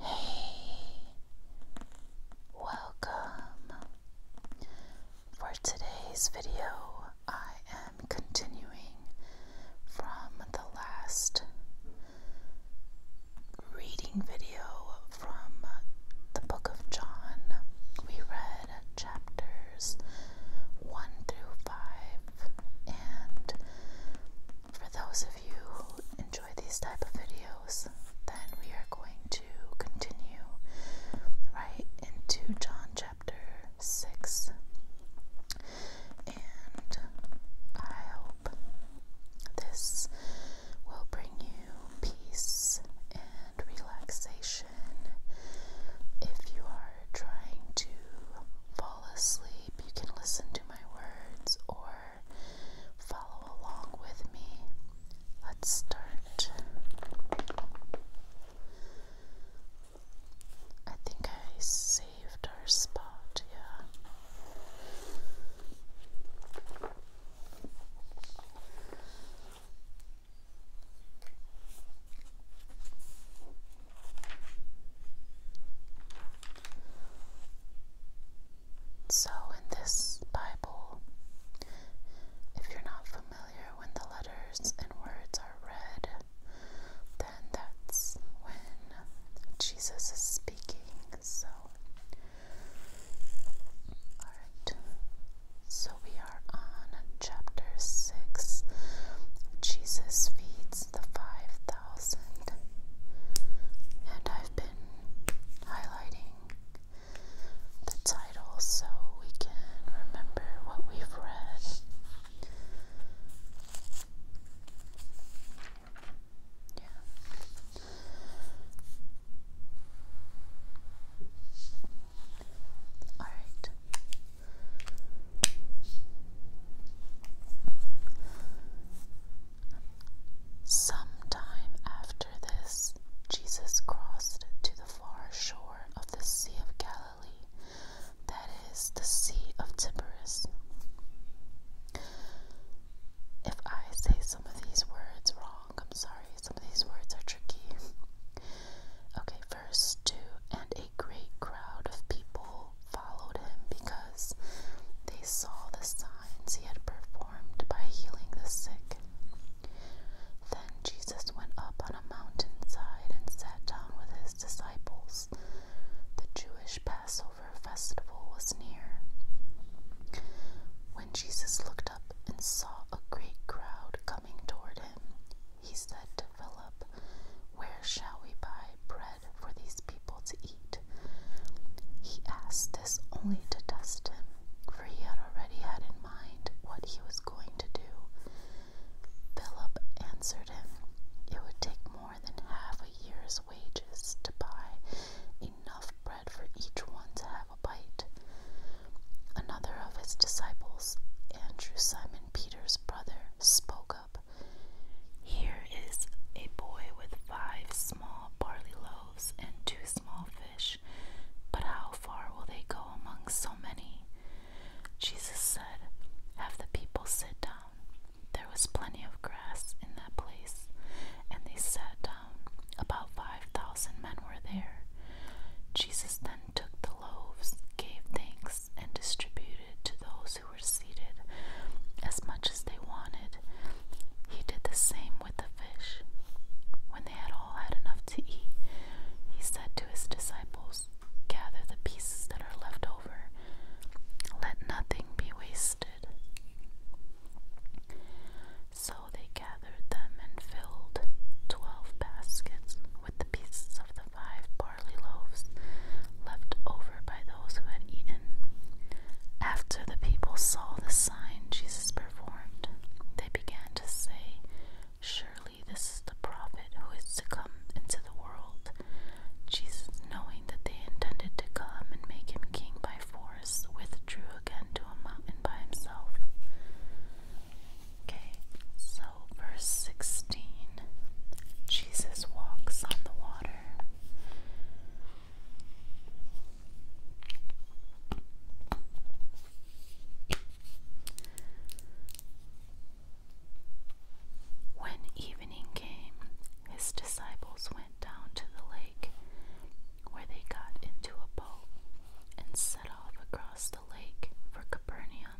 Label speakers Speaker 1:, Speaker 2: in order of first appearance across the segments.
Speaker 1: Hey, welcome. For today's video, I am continuing from the last reading video from the book of John. We read chapters 1 through 5. And for those of you who enjoy these type of videos, then we are going to continue right into John chapter 6. And I hope this will bring you peace and relaxation if you are trying to fall asleep, you can listen to my words or follow along with me. Let's start. I think I saved our spot, yeah. So, in this Bible, if you're not familiar when the letters and words are read, then that's when Jesus is speaking. So, alright, so we are on chapter 6. Jesus feeds the 5,000. And I've been highlighting the title so we can remember what we've read. Yeah. All right. Sometime after this, Jesus crossed to the far shore of the Sea of Galilee, that is, the Sea of Tiberias. If I say some of these words wrong, I'm sorry, some of these words are tricky. Okay, first two, and a great crowd of people followed him because they saw the signs he had performed by healing the sick. Then Jesus went up on a mountainside and sat down with his disciples. The Jewish Passover festival was near. When Jesus looked up and saw a great crowd coming toward him, he said to Philip, Where shall we buy bread for these people to eat? He asked this only to test him, for he had already had in mind what he was going to do. Philip answered him, It would take more than half a year's wages to buy enough bread for each one to have a bite. Another of his disciples, Andrew Simon Peter, Peter's brother spoke up. Here is a boy with five small barley loaves and two small fish, but how far will they go among so many? Jesus said, Have the people sit down. There was plenty of grass in that place, and they sat down. About five thousand men were there. Jesus then took the loaves, gave thanks, and distributed to those who were seated as much as they wanted. He did the same with the fish. When they had all had enough to eat, he said to his disciples, Gather the pieces that are left over, let nothing be wasted. So they gathered them and filled twelve baskets with the pieces of the five barley loaves left over by those who had eaten. After the people saw the sign Jesus performed, they began to say, Surely this is the prophet who is to come into the world. Jesus, knowing that they intended to come and make him king by force, withdrew again to a mountain by himself. Okay, so verse 16 Jesus walks on the water. When evening came, his disciples went down to the lake where they got into a boat and set off across across the lake for Capernaum.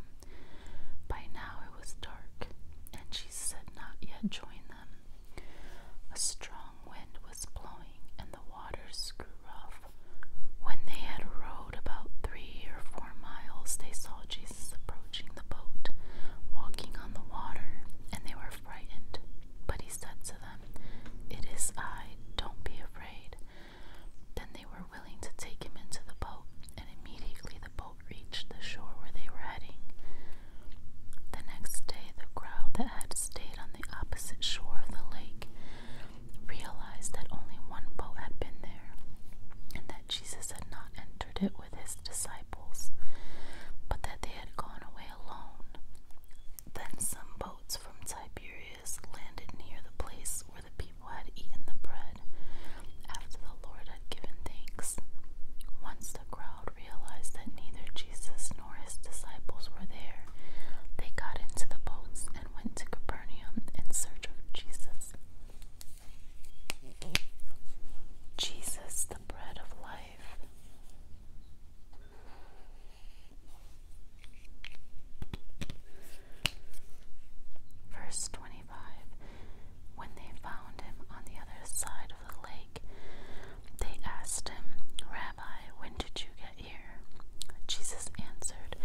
Speaker 1: By now it was dark, and Jesus had not yet joined them. A strong wind was blowing, and the waters grew rough. When they had rowed about three or four miles, they saw Jesus approaching the boat, walking on the water, and they were frightened. But he said to them, It is I, don't be afraid. Then they were willing to take him into the boat, and immediately the boat reached the shore where they were heading. The next day, the crowd that had stayed on the opposite shore of the lake realized that only one boat had been there, and that Jesus had not entered it with his disciples, but that they had gone away alone. Then some boats from Tiberias landed near the place where the people people had eaten the bread after the Lord had given thanks. Once the crowd realized that neither Jesus nor his disciples were there, they got into the boats and went to Capernaum in search of Jesus. Jesus, the bread of life. Verse 25 When they found him on the other side of the lake, they asked him, Rabbi, when did you get here? Jesus answered,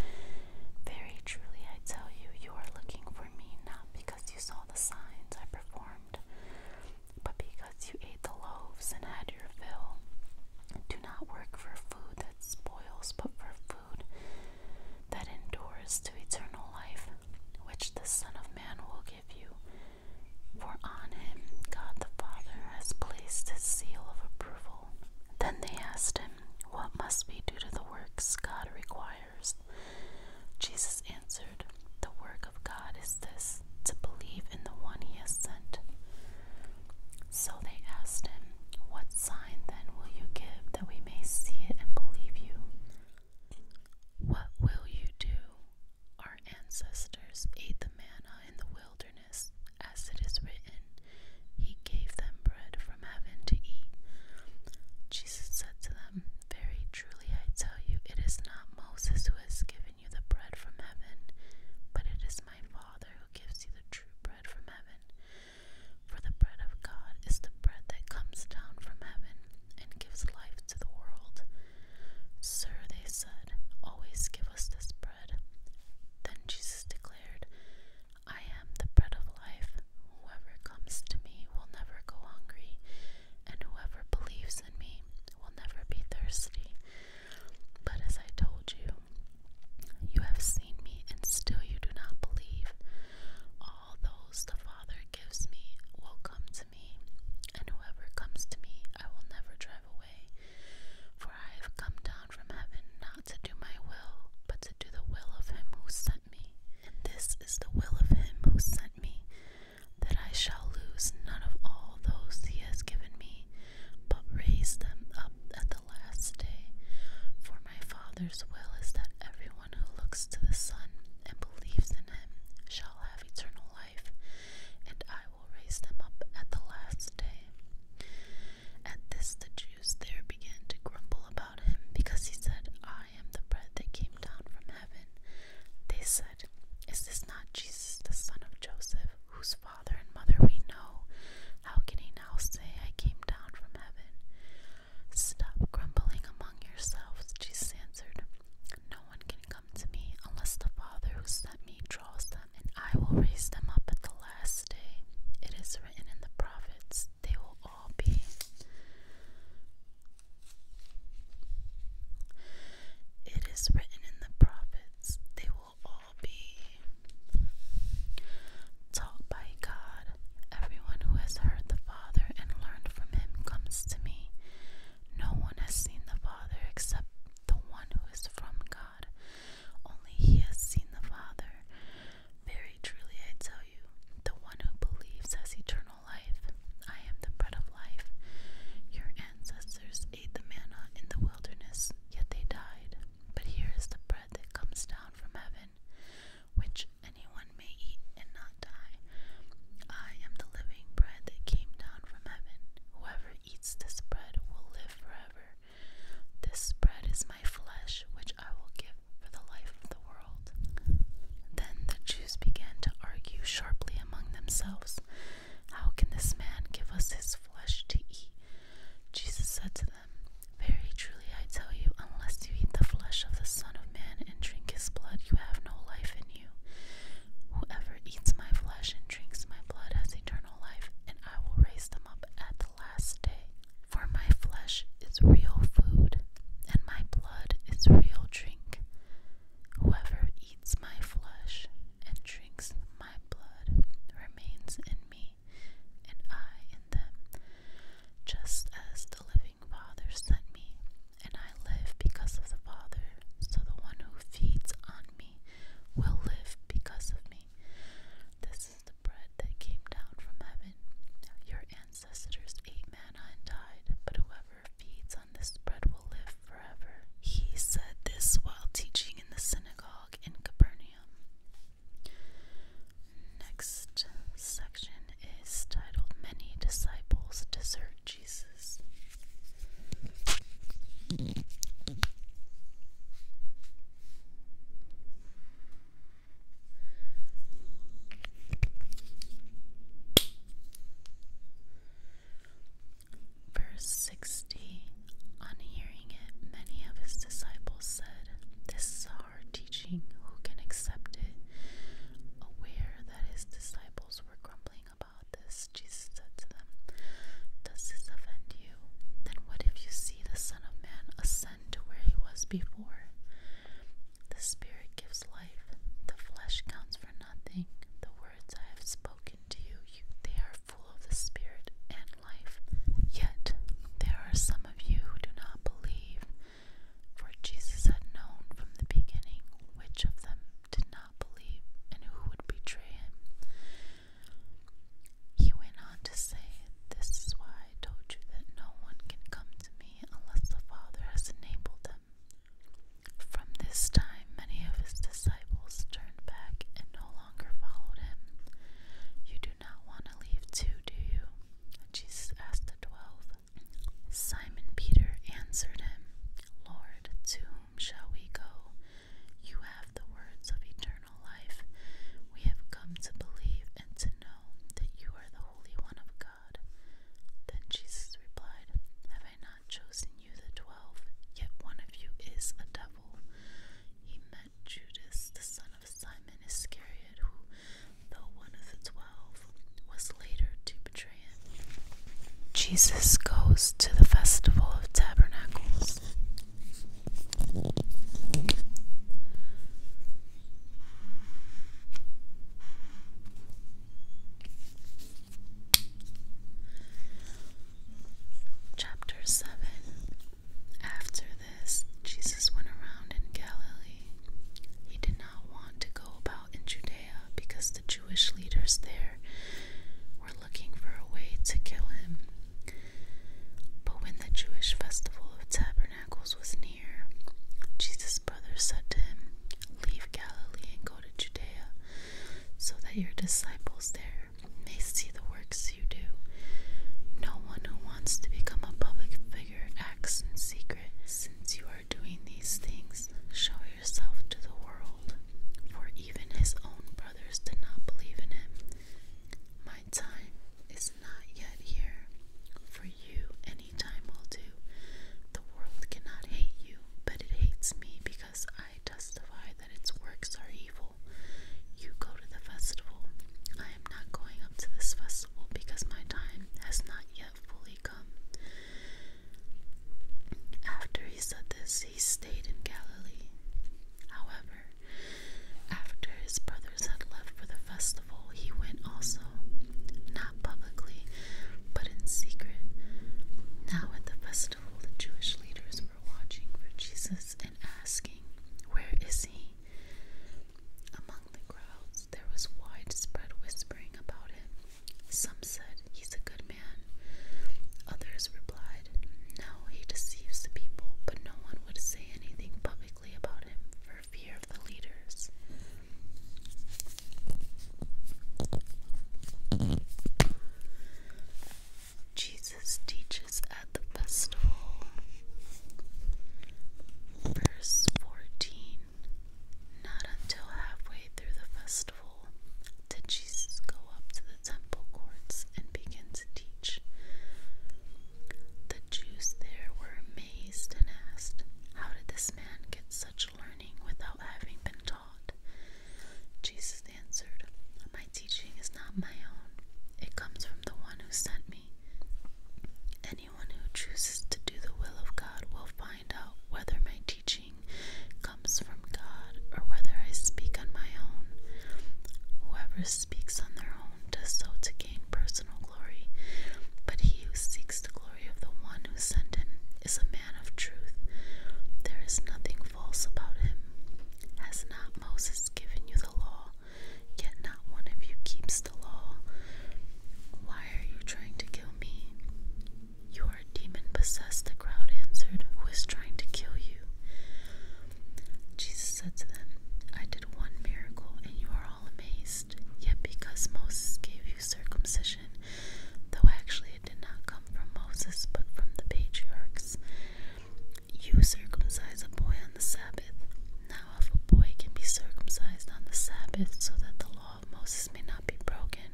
Speaker 1: Very truly I tell you, you are looking for me not because you saw the signs I performed, but because you ate the loaves and had your fill. Do not work for food that spoils, but for food that endures to eternal life, which the Son of Man will give you. For on him God the Father has placed his seal of approval. Then they asked him, What must be do to the works God requires? Jesus answered, The work of God is this, to believe in the one he has sent. So they asked him, what sign then will you give that we may see it and believe you? What will you do? Our ancestors ate the manna in the wilderness, as it is written, He gave them bread from heaven to eat. Jesus said to them, Very truly I tell you, it is not Moses who has given you the bread from heaven, but it is my Father who gives you the true bread from heaven. For the bread of God is the bread that comes down from heaven and gives life to the world. Sir, they said, always give us this bread. Then Jesus declared, I am the bread of life. Whoever comes to me will never go hungry, and whoever believes in me will never be thirsty. But as I told you, you have seen me, and still you do not believe all those the Father gives me will come to me, and whoever comes to me I will never drive away. For I have come down from heaven not to do my will, but to do the will of him who sent me. And this is the will of him who sent me, that I shall lose none of all those he has given me, but raise them up at the last day. For my Father's will is that everyone who looks to the Son and believes in him shall have eternal life, and I will raise them up at the last day. At this, the Jews there began to grumble about him, because he said, I am the bread that came down from heaven. They said, Is this not Jesus, the son of Joseph, whose father and mother we know? How can he now say, I came down from heaven? Stop grumbling among yourselves, Jesus answered. No one can come to me unless the Father who sent me draws them, and I will raise them up at the last day. It is written in the prophets, they will all be. It is written in the prophets, they will all be taught by God. Everyone who has heard the Father and learned from him comes to me. No one has seen the Father except the one who is from God. Only he has seen the Father. Very truly I tell you, the one who believes has eternal life. I am the bread of life. Your ancestors ate the manna in the wilderness, yet they died. But here is the bread that comes down from heaven, which anyone may eat and not die. I am the living bread that came down from heaven. Whoever eats this bread will live forever. This bread is my flesh, which I will give for the life of the world. Then the Jews began to argue sharply among themselves How can this man give us his flesh to eat? Jesus said to them, very truly I tell you, unless you eat the flesh of the Son of Man and drink his blood, you have no life in you. Whoever eats my flesh and drinks my blood has eternal life, and I will raise them up at the last day. For my flesh is real food, and my blood is real drink. Whoever eats my flesh and drinks my blood remains in me and I in them, just as the living Father sent me, and I live because of the Father. So the one who feeds on me will live because of me. This is the bread that came down from heaven. Your ancestors ate manna and died, but whoever feeds on this bread will live forever. He said this while teaching in the synagogue in Capernaum. Next section is titled Many Disciples Desert Jesus. Verse 60 On hearing it, many of his disciples said, This our teaching, who can accept it? Aware that his disciples were grumbling about this, Jesus said to them, Does this offend you? Then what if you see the Son of Man ascend to where he was before? The Spirit gives life, the flesh counts for nothing. The words I have spoken to you, you they are full of the Spirit and life. Yet there are some of you who do not believe. For Jesus had known from the beginning which of them did not believe and who would betray him. He went on to say, This is why I told you that no one can come to me unless the Father has enabled them. From this time, many of his disciples turned back and no longer followed him. You do not want to leave too, do you? Jesus asked the twelve. Simon Peter answered him, Lord, to whom shall we go? You have the words of eternal life. We have come to believe and to know that you are the Holy One of God. Then Jesus replied, Have I not chosen you, the twelve? Yet one of you is a devil. He Judas, the son of Simon Iscariot, who, though one of the twelve, was later to betray him. Jesus goes to the festival of tabernacles. Chapter 7 after this, Jesus went around in Galilee. He did not want to go about in Judea because the Jewish leaders there were looking for a way to kill him. But when the Jewish festival of tabernacles was near, Jesus' brothers said to him, Leave Galilee and go to Judea, so that your disciples there may see the works you do. No one who wants to become a public figure acts in secret. Since you are doing these things, show yourself to the world, for even his own brothers did not believe in him. My time is not yet here. For you, any time will do. The world cannot hate you, but it hates me because I testify that its works are evil. You go to the festival. I I am not going up to this festival because my time has not yet fully come. After he said this, he stayed in Galilee. However, after his brothers had left for the festival, he went also, not publicly, but in secret. Now at the festival, the Jewish leaders were watching for Jesus and asking, Where is he? Among the crowds there was widespread whispering about him. Some said he's a good man. Others replied, No, he deceives the people, but no one would say anything publicly about him for fear of the leaders. Jesus teaches at the festival. Verse 14 Not until halfway through the festival did Jesus go up to the temple courts and begin to teach. The Jews there were amazed and asked, How did this man get such learning without having been taught? Jesus answered, My teaching is not my own, it comes from the one who sent me. And Anyone who chooses to do the will of God will find out whether my teaching comes from God or whether I speak on my own. Whoever speaks on their own does so to gain personal glory, but he who seeks the glory of the one who sent him is a man of truth. There is nothing false about him. Has not Moses given you the law? yet not one of you keeps the law. Why are you trying to kill me? You are demon possessed, the crowd answered, who is trying to kill you. Jesus said to them, I did one miracle, and you are all amazed. Yet because Moses gave you circumcision, though actually it did not come from Moses but from the patriarchs, you circumcise a boy on the Sabbath if a boy can be circumcised on the Sabbath so that the law of Moses may not be broken,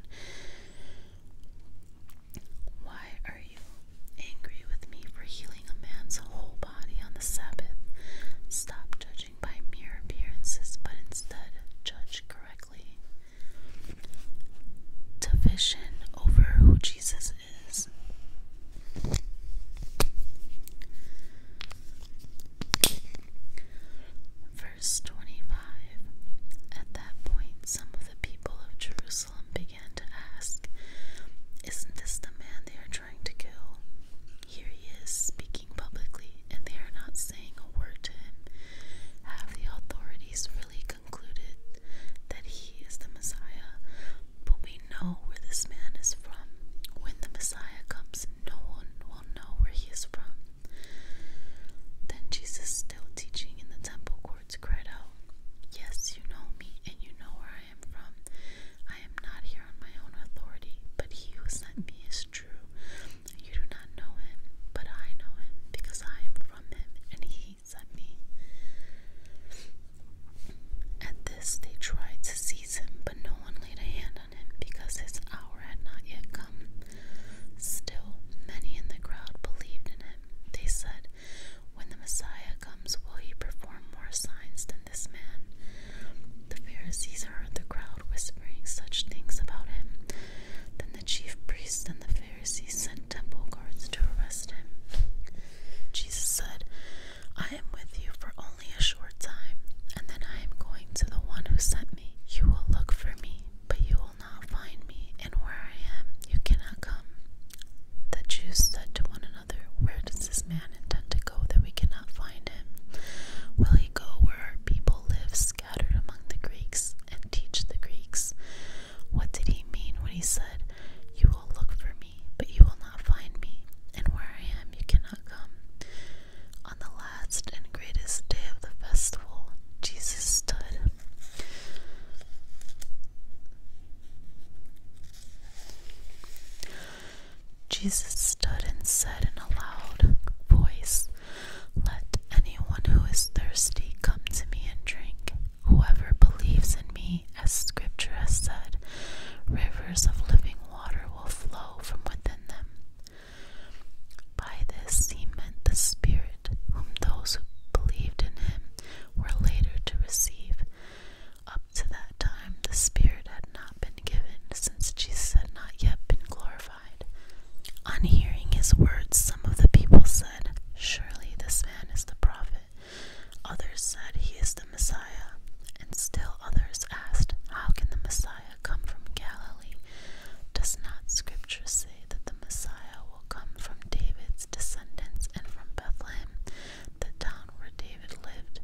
Speaker 1: why are you angry with me for healing a man's whole body on the Sabbath? Stop judging by mere appearances, but instead judge correctly. To over who Jesus is. Verse 25 At that point, some of the people of Jerusalem began to ask, Isn't this the man they are trying to kill? Here he is speaking publicly, and they are not saying a word to him. Have the authorities really concluded that he is the Messiah? But we know where this man is from. When the Messiah comes, no one will know where he is from. Then Jesus, still teaching in the temple courts, cried out, Yes, you know me, and you know where I am from. I am not here on my own authority, but he who sent me is true. You do not know him, but I know him, because I am from him, and he sent me. At this, they tried to seize him, but no one laid a hand on him because his hour had not yet come. Still, many in the crowd believed in him. They said, When the Messiah comes, will he perform more signs than this man? The Pharisees heard the crowd whispering such things about him. Then the chief priests and the Pharisees sent temple guards to arrest him. Jesus said, I am with you for only a short time, and then I am going to the one who sent me. You will look for me, but you will not find me, and where I am, you cannot come. The Jews said to one another, Where does this man intend to go that we cannot find him? Will he go where our people live, scattered among the Greeks, and teach the Greeks? What did he mean when he said, You will look for me"? but you will not find me, and where I am you cannot come. On the last and greatest day of the festival, Jesus stood. Jesus stood and said in a loud voice, Let anyone who is thirsty come to me and drink. Whoever believes in me, as scripture has said, rivers of living water." water will flow from within them. By this he meant the Spirit, whom those who believed in him were later to receive. Up to that time, the Spirit had not been given, since Jesus had not yet been glorified. On hearing his words, some of the people said, Surely this man is the prophet. Others said, He is the Messiah, and still others asked, How can the Messiah come from Galilee? Does not Scripture say that the Messiah will come from David's descendants and from Bethlehem, the town where David lived?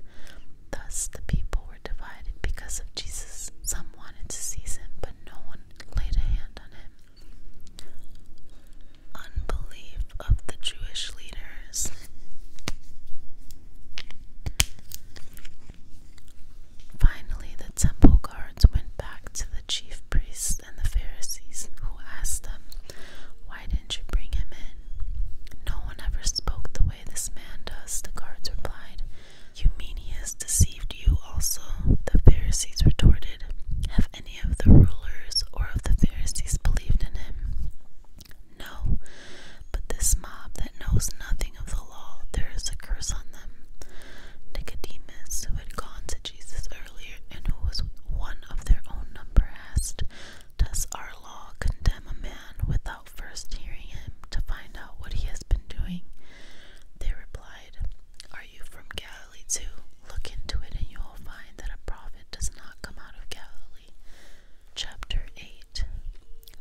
Speaker 1: Thus the people were divided because of Jesus. Some wanted to seize him, but no one laid a hand on him. Unbelief of the Jewish leaders. Finally, the temple guards went back to the chief priests and the Pharisees, who asked them, Why didn't you bring him in? No one ever spoke the way this man does, the guards replied. You mean he has deceived you also? The Pharisees retorted. Have any of the rulers or of the Pharisees believed in him? No, but this mob that knows nothing of the law, there is a curse on them. Nicodemus, who had gone to Jesus earlier and who was one of their own number, asked, Does our law condemn a man without first hearing him to find out what he has been doing? They replied, Are you from Galilee too? Look into it, and you will find that a prophet does not come out of Galilee. Chapter 8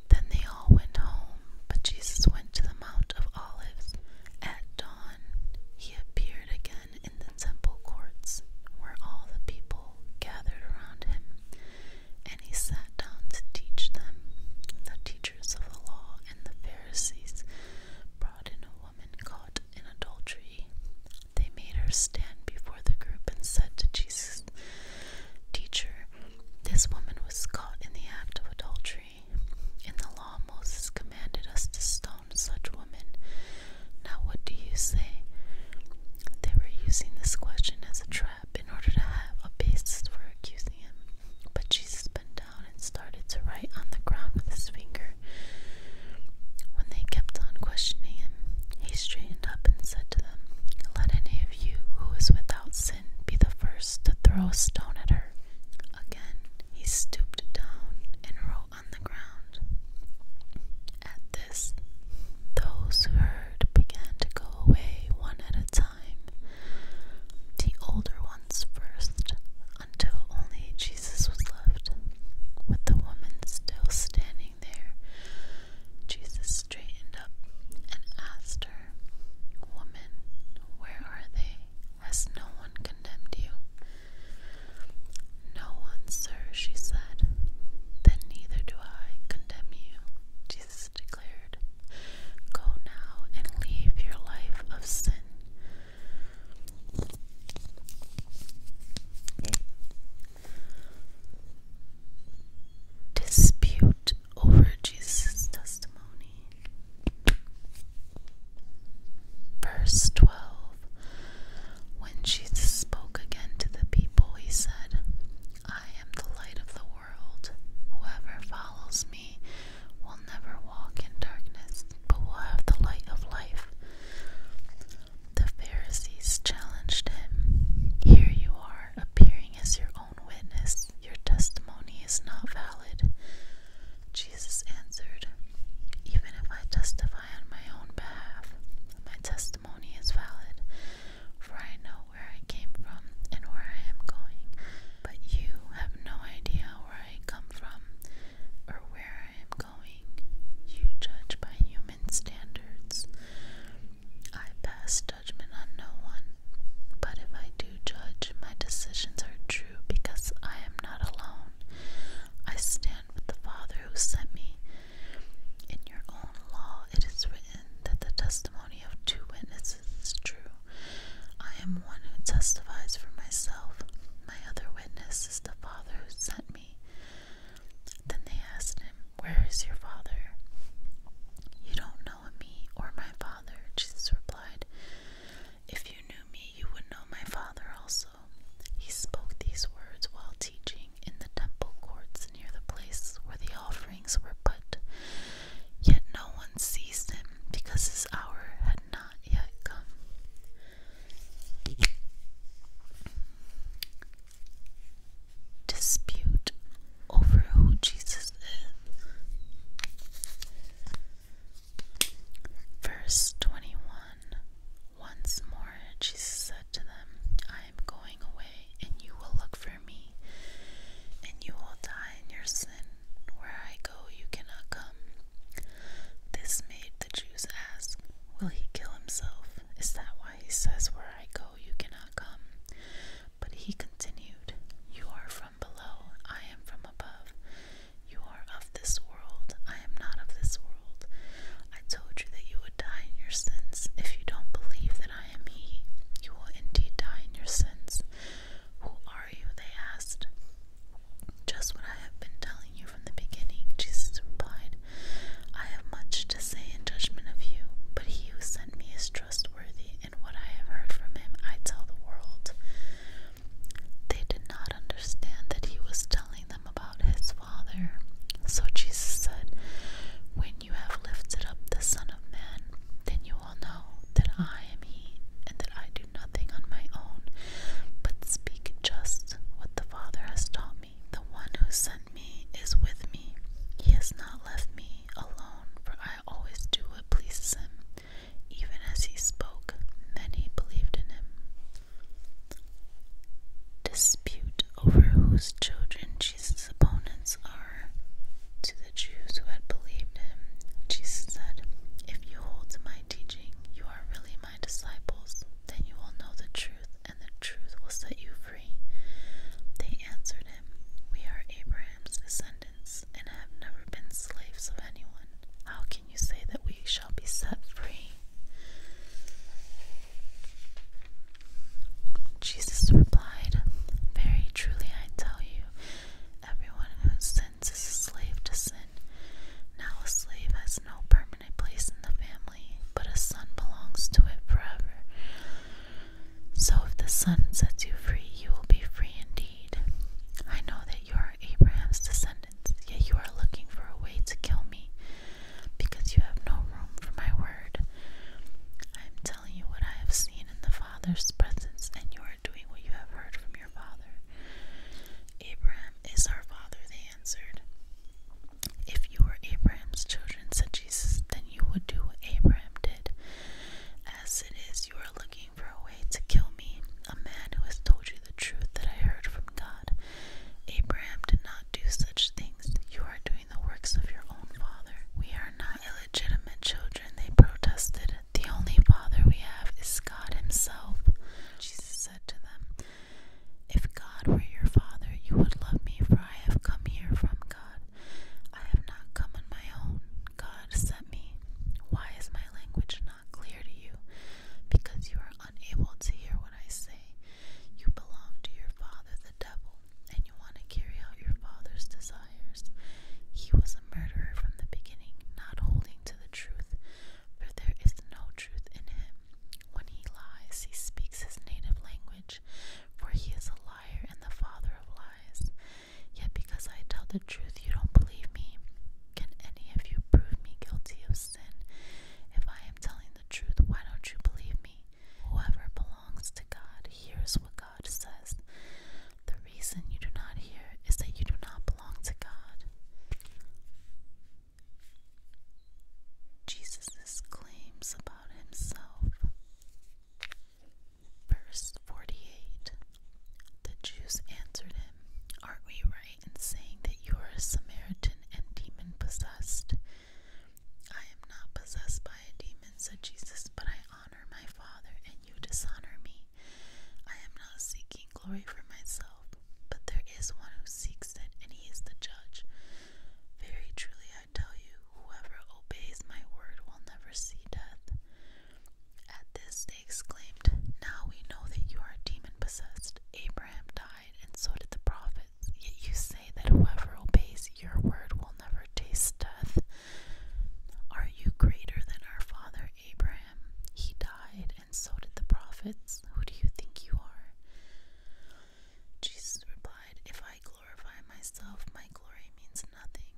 Speaker 1: then they all went home, but Jesus went to the Mount of Olives. At dawn, he appeared again in the temple courts, where all the people gathered around him, and he sat down to teach them. The teachers of the law and the Pharisees brought in a woman caught in adultery. They made her stand before the group and said to Jesus, Teacher, this woman was caught in the act of adultery. In the law, Moses commanded us to stone such women. Now, what do you say? They were using this question as a trap in order to have a basis for accusing him. But Jesus bent down and started to write on the ground with his finger. When they kept on questioning him, he straightened up and said to them, Let any of you who is without sin be the first to throw a stone at her. Again he stooped down and wrote on the ground. At this, those who heard began to go away one at a time, the older ones first, until only Jesus was left, with the woman still standing there Jesus straightened up and asked her, Woman, where are they? Has no one condemned you? No one, sir, she said. Then neither do I condemn you, Jesus declared. Go now and leave your life of sin. Dispute over Jesus' testimony. Verse 12 When Jesus spoke again to the people, he said, I am the light of the world. Whoever follows me will never walk in darkness, but will have the light of life the Pharisees challenged him Here you are, appearing as your own witness. Your testimony is not valid. Jesus answered, Even if I testify on my own behalf, my testimony is valid, for I know where I came from and where I am going. But you have no idea where I come from or where I am going. You judge by human standards. I pass judgment on no one, but if I do judge, my decisions are true because I am not alone. I stand with the Father who sent me. In your own law, it is written that the testimony of two witnesses is true. I am one who testifies for myself. My other witness is the Father who sent me. Then they asked him, Where is your father? You don't know me or my father, Jesus replied. If you knew me, you would know my father also. He spoke these words while teaching in the temple courts near the place where the offerings were put. Yet no one seized him because his hour had not yet come dispute over who Jesus is. Verse 21 Once more Jesus said to them, I am going away, and you will look for me, and you will die in your sin. Where I go, you cannot come. This made the Jews ask, Will he kill himself? Is that why he says, Where I go?" you cannot come. But he continued, You are from below, I am from above. You are of this world, I am not of this world. I told you that you would die in your sins. If you don't believe that I am He, you will indeed die in your sins. Who are you? They asked. Just what I have been telling you from the beginning, Jesus replied. I have much to say in judgment of you, but he who sent me is trustworthy, and what I have heard from him I tell the world. They did not understand that he was telling them about his Father. So Jesus said, When you have lifted up the Son of Man, then you will know that I am he, and that I do nothing on my own, but speak just what the Father has taught me." The one who sent me is with me. He has not left me alone, for I always do what pleases him. Even as he spoke, many believed in him. Dispute over whose children Jesus' opponents are. To the Jews who had believed him, Jesus said, If you hold to my teaching, you are really my disciples. Then you will know the truth, and the truth will set you free. They answered him, We are Abraham's descendants and have never been slaves of anyone. How can you say that we shall be set free? Jesus replied, Very truly I tell you, everyone who sins is a slave to sin. Now a slave has no permanent place in the family but a son belongs to it forever. So if the sun sets you free, you will be free indeed. I know that you are Abraham's descendants, yet you are looking for a way to kill me, because you have no room for my word. I am telling you what I have seen in the Father's presence, and you are doing what you have heard from your father. Abraham is our father, they answered. If you were Abraham's children, said Jesus, then you would do what Abraham did. As it is, you are looking for a way to kill me, a man who has told you the truth that I heard from God. Abraham did not do such things. You are doing the works of your own father. We are not illegitimate children, they protested. The only father we have is God Himself. Jesus said to them, If God were your father, you would love me, for I have come here from God. I have not come on my own. God sent me. Why is my language not clear to you? Because you are unable to hear what I say. You belong to your father, the devil, and you want to carry out your father's desires. He was a murderer from the beginning, not holding to the truth, for there is no truth in him. When he lies, he speaks his native language for he is a liar and the father of lies. Yet because I tell the truth, you don't believe me. Can any of you prove me guilty of sin? If I am telling the truth, why don't you believe me? Whoever belongs to God hears what God says. The reason you do not hear is that you do not belong to God. Jesus' claims about Verse 48 The Jews answered him, Aren't we right in saying that you are a Samaritan and demon possessed? I am not possessed by a demon, said Jesus, but I honor my Father, and you dishonor me. I am not seeking glory for myself, but there is one who seeks it, and he is the judge. Very truly, I tell you, whoever obeys my word will never see death. At this they exclaimed, Now we know that you are demon possessed. Abraham died, and so did the prophets. Yet you say that whoever obeys your word will never taste death. Are you greater than our father Abraham? He died, and so did the prophets. Who do you think you are? Jesus replied, If I glorify myself, my glory means nothing.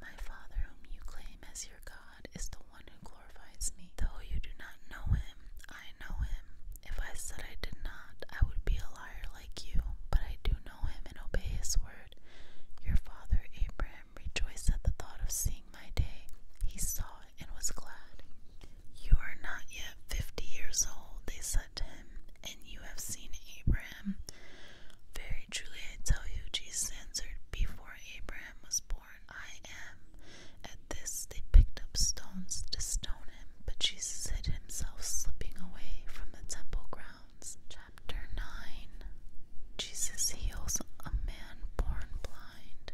Speaker 1: My Father, whom you claim as your God, is the one who glorifies me. Though you do not know him, I know him. If I said I did not, I would be a liar like you, but I do know him and obey his word. Your father Abraham rejoiced at the thought of seeing my day. He saw it and was glad. You are not yet fifty years old, they said and you have seen Abraham. Very truly I tell you, Jesus answered, Before Abraham was born, I am. At this they picked up stones to stone him, but Jesus hid himself, slipping away from the temple grounds. Chapter 9 Jesus heals a man born blind.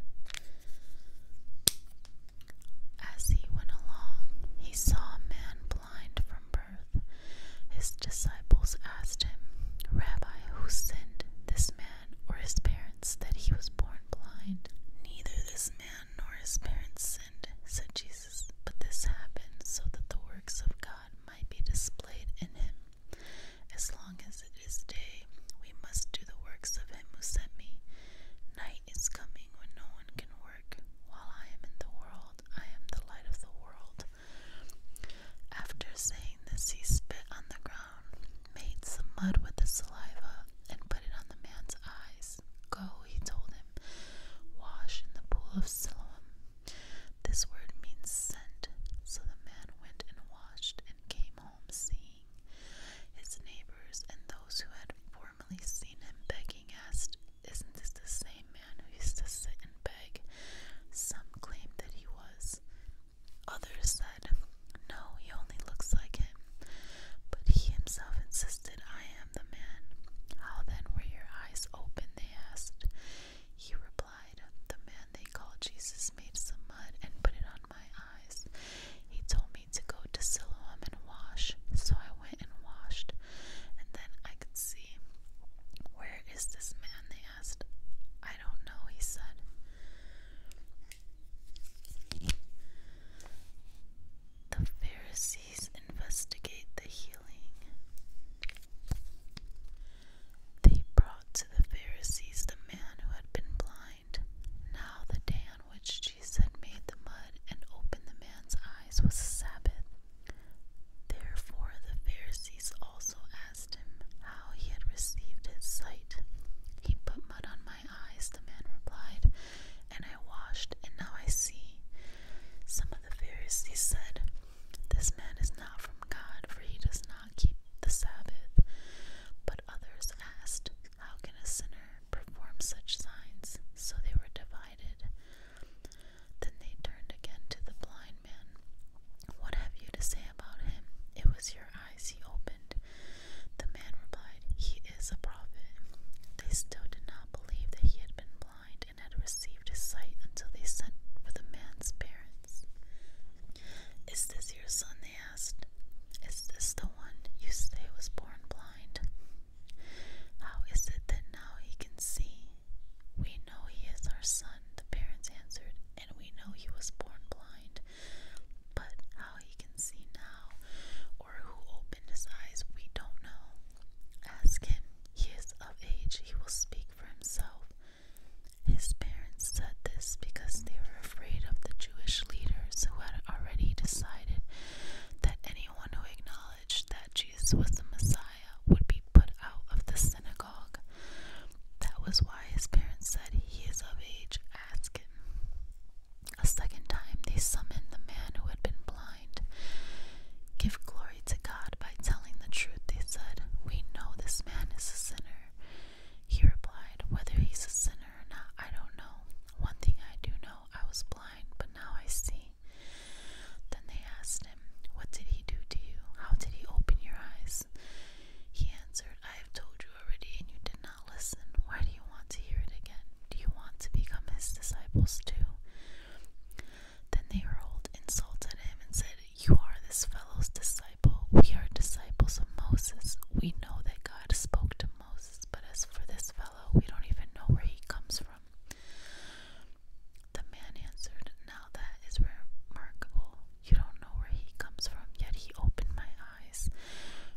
Speaker 1: As he went along, he saw a man blind from birth. His disciples asked him, Rabbi, who sinned, this man or his parents, that he was born blind? Neither this man nor his parents sinned, said Jesus, but this happened so that the works of God might be displayed in him. As long as it is day, we must do the works of him who sent me. Night is coming when no one can work work. While I am in the world, I am the light of the world. After saying this, he spit on the ground, made some mud with the saliva, and put it on the man's eyes. Go, he told him, wash in the pool of Siloam. This word means sent. So the man went and washed and came home, seeing his neighbors and those who had for formerly seen him begging asked, Isn't this the same man who used to sit and beg? Some claimed that he was. Others said, No, he only looks like him. But he himself insisted, I am the man. How then were your eyes open? They asked. He replied, The man they call Jesus made some mud and put it on my eyes. He told me to go to Siloam and wash, so I went and washed, and then I could see. Where is this man? They asked. I don't know, he said. The Pharisees investigate the healing. They brought to the Pharisees the man who had been blind. Now, the day on which Jesus had made the mud and opened the man's eyes was a Sabbath. Therefore the Pharisees also asked him how he had received his sight. He put mud on my eyes, the man replied, and I washed, and now I see. Some of the Pharisees said, This man is not from God, for he does not keep the Sabbath. But others asked, How can a sinner perform such signs? So they were divided. Then they turned again to the blind man. What have you to say about him? It was your eyes he opened. The man replied, He is a prophet. They still did not believe that he had been blind and had received his sight until they sent for the man's parents. Is this your son? They asked. Is this the one you say was born blind? How is it that now he can see? We know he is our son, the parents answered, and we know he was born blind. But how he can see now, or who opened his eyes, we don't know. Ask him, he is of age, he will speak for himself. His parents said this because they were afraid of the Jewish leaders who had already decided that anyone who acknowledged that Jesus was the Messiah would be put out of the synagogue. That was why his parents said, He is of age, ask him. A second time they summoned the man who had been blind. Give glory to God by telling the truth, they said. We know this man is a sinner. He replied, Whether he's a sinner or not, I don't know. One thing I do know I was blind, but now I see. Then they asked him, What did he do to you? How did he open your eyes? He answered, I have told you already, and you did not listen. Why do you want to hear it again? Do you want to become his disciples too? Then they hurled insults at him and said, You are this fellow's disciple. We are disciples of Moses. We know that God spoke to Moses, but as for this fellow, we don't even know where he comes from. The man answered, Now that is remarkable. You don't know where he comes from, yet he opened my eyes.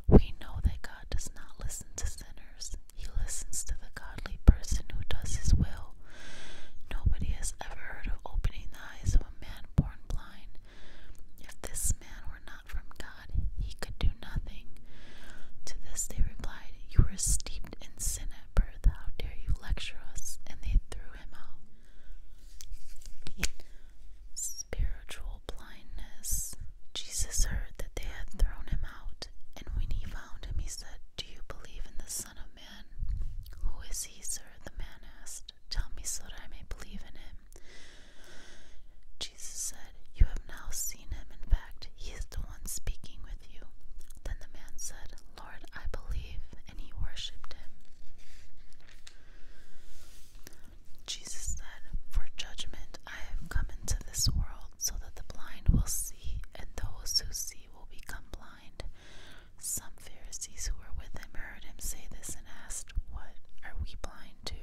Speaker 1: We know that God does not listen to sinners, he listens to the godly person who does his will. Nobody has ever heard of opening the eyes of a man born blind. If this man were not from God, he could nothing. To this they replied, You were steeped in sin at birth. How dare you lecture us? And they threw him out. Spiritual blindness. Jesus heard that they had thrown him out, and when he found him, he said, Do you believe in the Son of Man? Who is he, sir? The man asked. Tell me so that I may believe in him. Jesus said, you have now seen him. In fact, he is the one speaking with you. Then the man said, Lord, I believe. And he worshipped him. Jesus said, For judgment I have come into this world, so that the blind will see, and those who see will become blind. Some Pharisees who were with him heard him say this and asked, What are we blind to?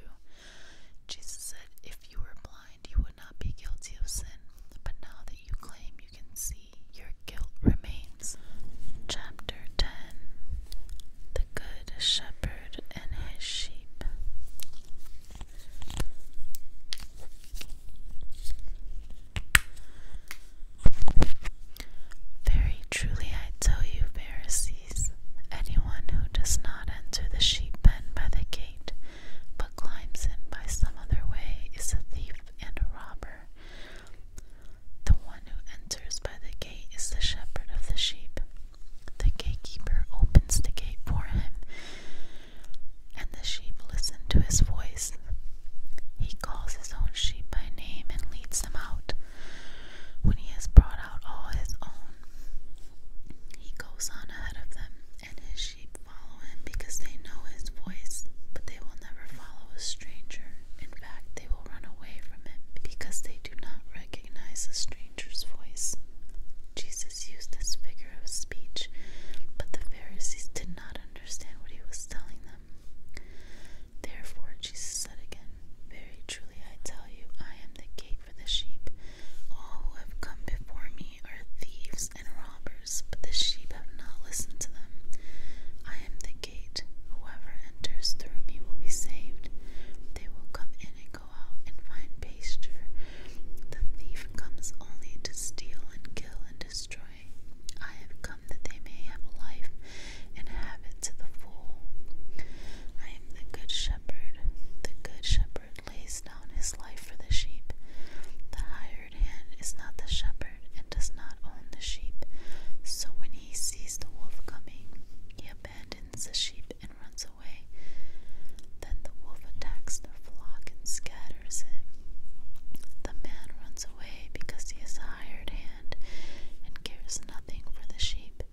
Speaker 1: Jesus said, If you were blind, you would not be guilty of sin, but now that you claim you can see, your guilt remains. Chapter 10 The Good Shepherd and His Sheep. Very truly I tell you, Pharisees, anyone who does not enter the sheep pen by the gate, but climbs in by some other way is a thief and a robber. The one who enters by the gate is the shepherd of the sheep. The gatekeeper opens the gate for him, and the sheep listen to his voice. He calls his own sheep by name and leads them out. When he has brought out all his own, he goes on ahead of them, and his sheep follow him because they know his voice, but they will never follow a stranger. In fact, they will run away from him because they do not recognize a stranger's voice. Jesus used this figure of speech, but the Pharisees did not understand what he was telling them. Therefore, Jesus said again, Very truly I tell you, I am the gate for the sheep. All who have come before me are thieves and robbers, but the sheep have not listened to them. I am the gate. Whoever enters through me will be saved. They will come in and go out and find pasture. The thief comes only to steal and kill and destroy. I have come that they may have life and have it to the full. I am the good shepherd. The good shepherd lays down his life for the sheep. The hired hand is not the shepherd and does not own the sheep. So when he sees the wolf coming, he abandons the sheep and runs away. Then the wolf attacks the flock and scatters it. The man runs away because he is a hired hand and cares nothing for the sheep.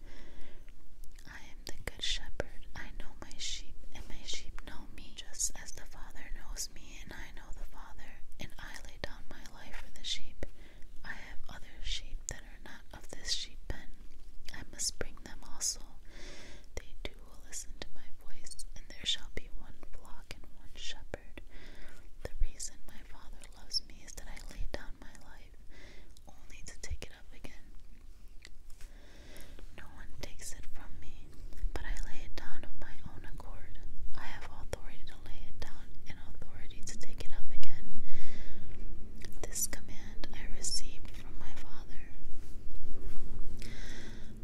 Speaker 1: I am the good shepherd. I know my sheep, and my sheep know me, just as the Father knows me, and I know the Father, and I lay down my life for the sheep. I have other sheep that are not of this sheep pen. I must bring them also. They too will listen to my voice, and there shall be one flock and one shepherd. The reason my Father loves me is that I lay down my life only to take no one takes it from me, but I lay it down of my own accord. I have authority to lay it down and authority to take it up again. This command I received from my Father.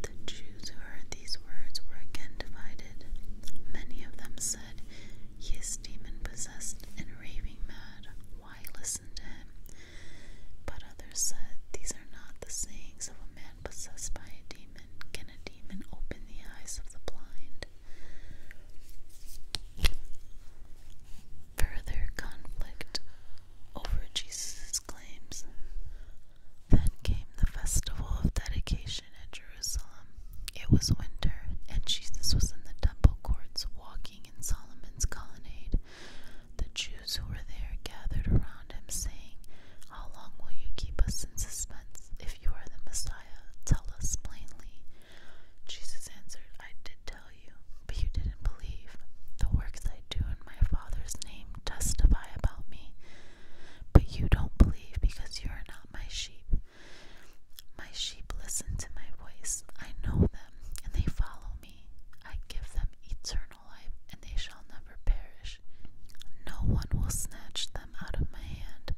Speaker 1: The Jews who heard these words were again divided. Many of them said, He is demon possessed and raving mad. Why listen to him? But others said, These are not the sayings of a man possessed by a demon. Can a demon open the eyes of the blind? Further conflict over Jesus' claims. Then came the festival of dedication at Jerusalem. It was winter, and Jesus was in the temple courts walking in Solomon's colonnade. The Jews who were there gathered around him, saying, How long will you keep us in suspense? If you are the Messiah, tell us plainly. Jesus answered, I did tell you, but you didn't believe. The works I do in my Father's name testify about me, but you don't believe because you are not my sheep. My sheep listen to my voice. I know them, and they follow me. I give them eternal and they shall never perish. No one will snatch them out of my hand.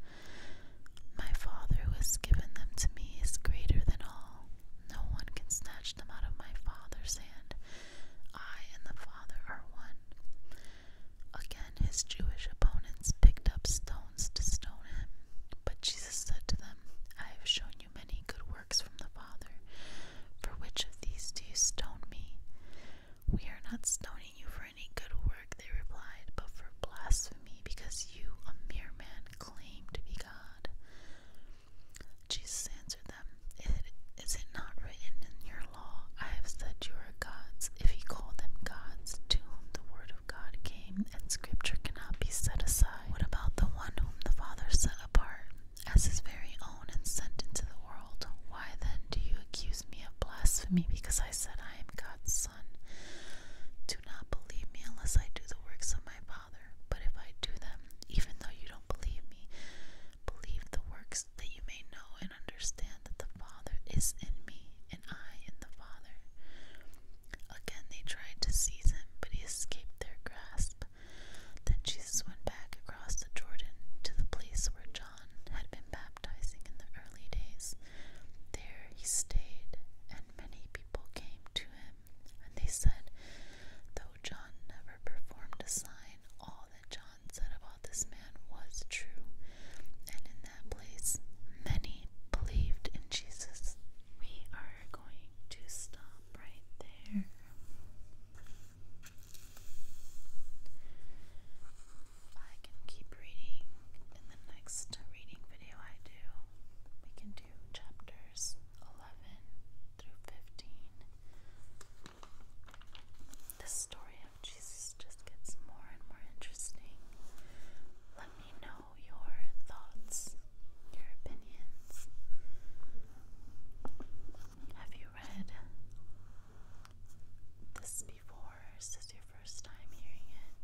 Speaker 1: My Father who has given them to me is greater than all. No one can snatch them out of my Father's hand. I and the Father are one. Again, his Jewish opponents picked up stones to stone him. But Jesus said to them, I have shown you shown you many good works from the Father. For which of these do you stone me? We are not stoning you for any good work, they replied, but for blasphemy, because you, a mere man, claim to be God. Jesus answered them, Is it not written in your law, I have said you are gods, if you call them gods, to whom the word of God came, and scripture cannot be set aside? What about the one whom the Father set apart? as his very own and sent into the world, why then do you accuse me of blasphemy because I said I am God's son? Do not believe me unless I do the works of my Father, but if I do them, even though you don't believe me, believe the works that you may know and understand that the Father is in me and I in the Father. Again they tried to seize him, but he escaped their grasp. Then Jesus went back across the Jordan to the place where John had been baptizing in the early days. There he stayed, and many people came to him, and they said, Though John never performed a sign, all that John said about this man was true. And in that place, many believed in Jesus. We are going to stop right there. I can keep reading in the next reading video I do. We can do chapters 11 through 15. The story of Jesus just gets more and more interesting. Let me know your thoughts your opinions. Have you read this before? Or is this your first time hearing it?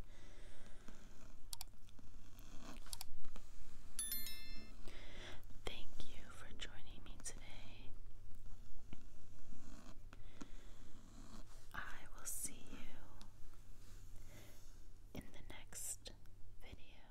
Speaker 1: Thank you for joining me today. I will see you in the next video.